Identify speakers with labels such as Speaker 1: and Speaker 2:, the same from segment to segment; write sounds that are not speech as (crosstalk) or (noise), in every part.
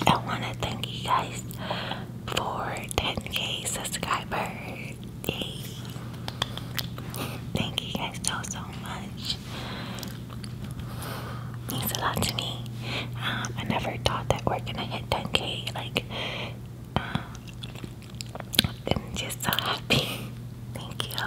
Speaker 1: I want to thank you guys for 10k subscribers. Thank you guys so so much. Means a lot to me. Um, I never thought that we're gonna hit 10k. Like, um, I'm just so happy. (laughs) Thank you.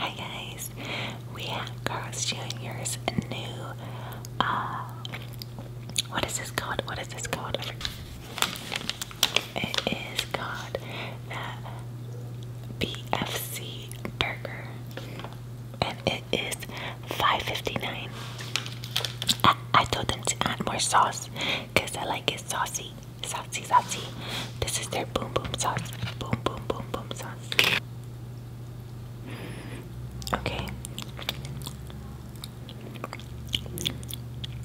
Speaker 1: Hi guys, we have Carl's Jr.'s new, uh, what is this called? What is this called? It is called the BFC Burger, and its 5.59. I told them to add more sauce because I like it saucy. Saucy, saucy. This is their boom boom sauce. Boom, boom, boom, boom sauce. Okay.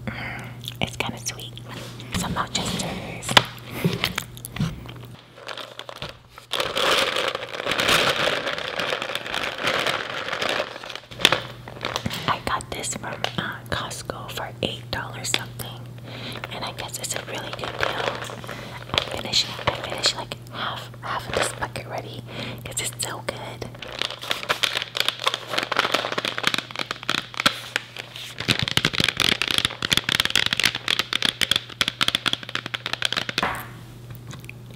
Speaker 1: Mm, it's kind of sweet. Some Rochester's. I got this from uh, Costco for $8 something. And I guess it's a really good deal. I'm I finished like half, half of this bucket ready because it's so good.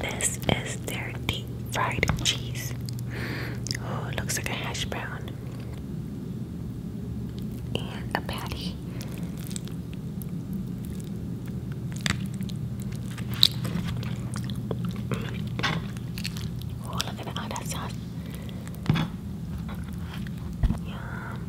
Speaker 1: This is their deep fried cheese. Oh, it looks like a hash brown and a patty. Oh, look at that sauce. Yum.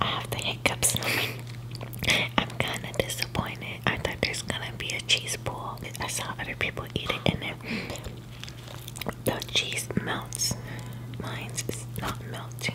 Speaker 1: I have the hiccups. I'm kind of disappointed. I thought there's gonna be a cheese ball. I saw other people eat it in there. The cheese melts. Mine's not melting.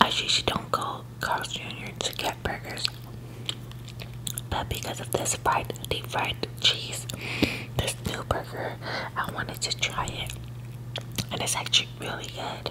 Speaker 1: Actually, she don't go Carl's Jr. to get burgers. But because of this fried, deep fried cheese, this new burger, I wanted to try it. And it's actually really good.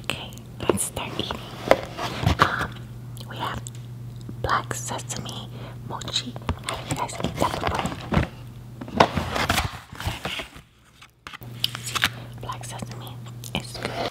Speaker 1: Okay, let's Um, we have black sesame mochi. Have you guys eat that before? See, black sesame is good.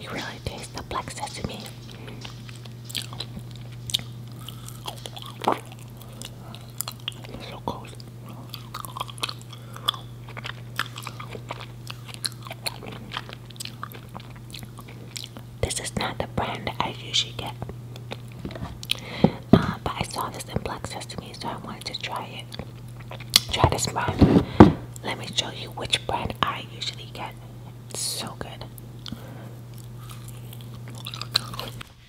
Speaker 1: You really taste the black sesame. This is not the brand I usually get, uh, but I saw this in Black Sesame, so I wanted to try it. Try this brand. Let me show you which brand I usually get. so good.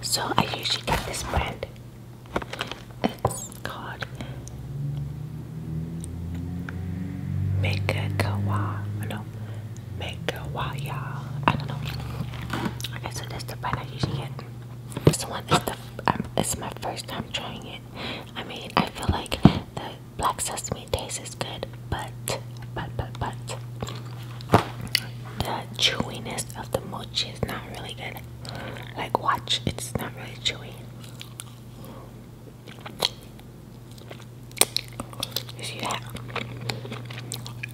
Speaker 1: So I usually get this brand. It's called Megakawa. No, Megawaya. I don't know. Okay, so that's the brand I usually get. This the. Um, it's my first time trying it. I mean, I feel like Black sesame taste is good, but, but, but, but, the chewiness of the mochi is not really good. Like, watch, it's not really chewy. You see that?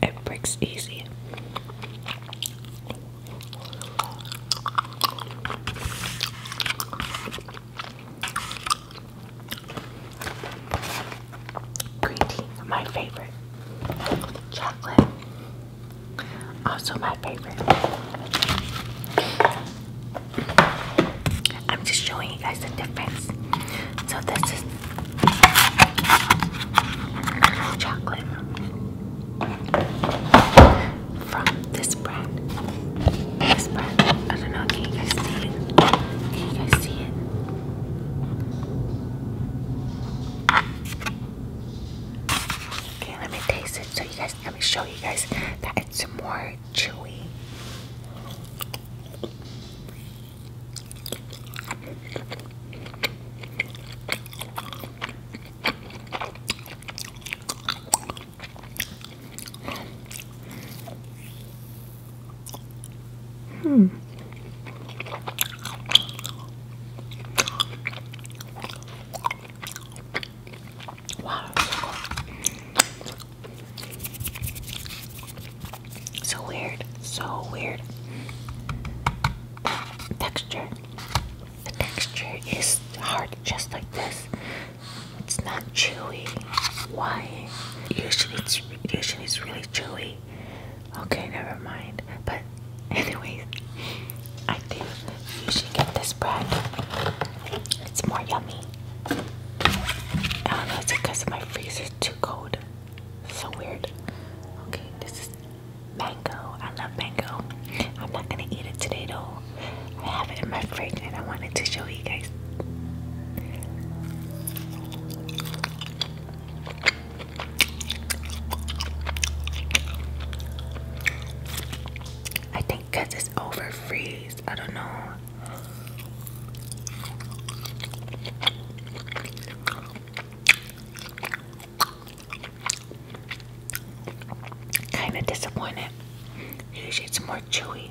Speaker 1: It breaks easy. Green tea, my favorite. Chocolate, also my favorite. I'm just showing you guys the difference. So this is chocolate from this brand. I don't know, can you guys see it? Can you guys see it? Okay, let me taste it so you guys, let me show you guys that it's more chewy. Hmm. Wow. So weird. So weird. Texture. The texture is hard just like this. It's not chewy. Why? Usually it's usually it's really chewy. Okay, never mind. But (laughs) anyways, I think you should get this bread. It's more yummy. I don't know, it's because my freezer is too cold. So weird. Okay, this is mango. I love mango. I'm not gonna eat it today though. I have it in my fridge and I wanted to show you guys. I think it's over freeze, I don't know. Kind of disappointed. Usually it's more super chewy.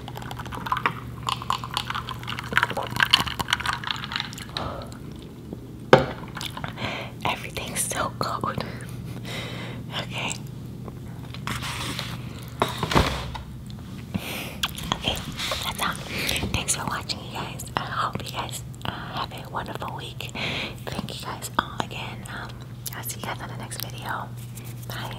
Speaker 1: Everything's so cold. okay. Okay, that's all. Thanks for watching, you guys. I hope you guys uh, have a wonderful week. Thank you guys all again. Um, I'll see you guys in the next video. Bye.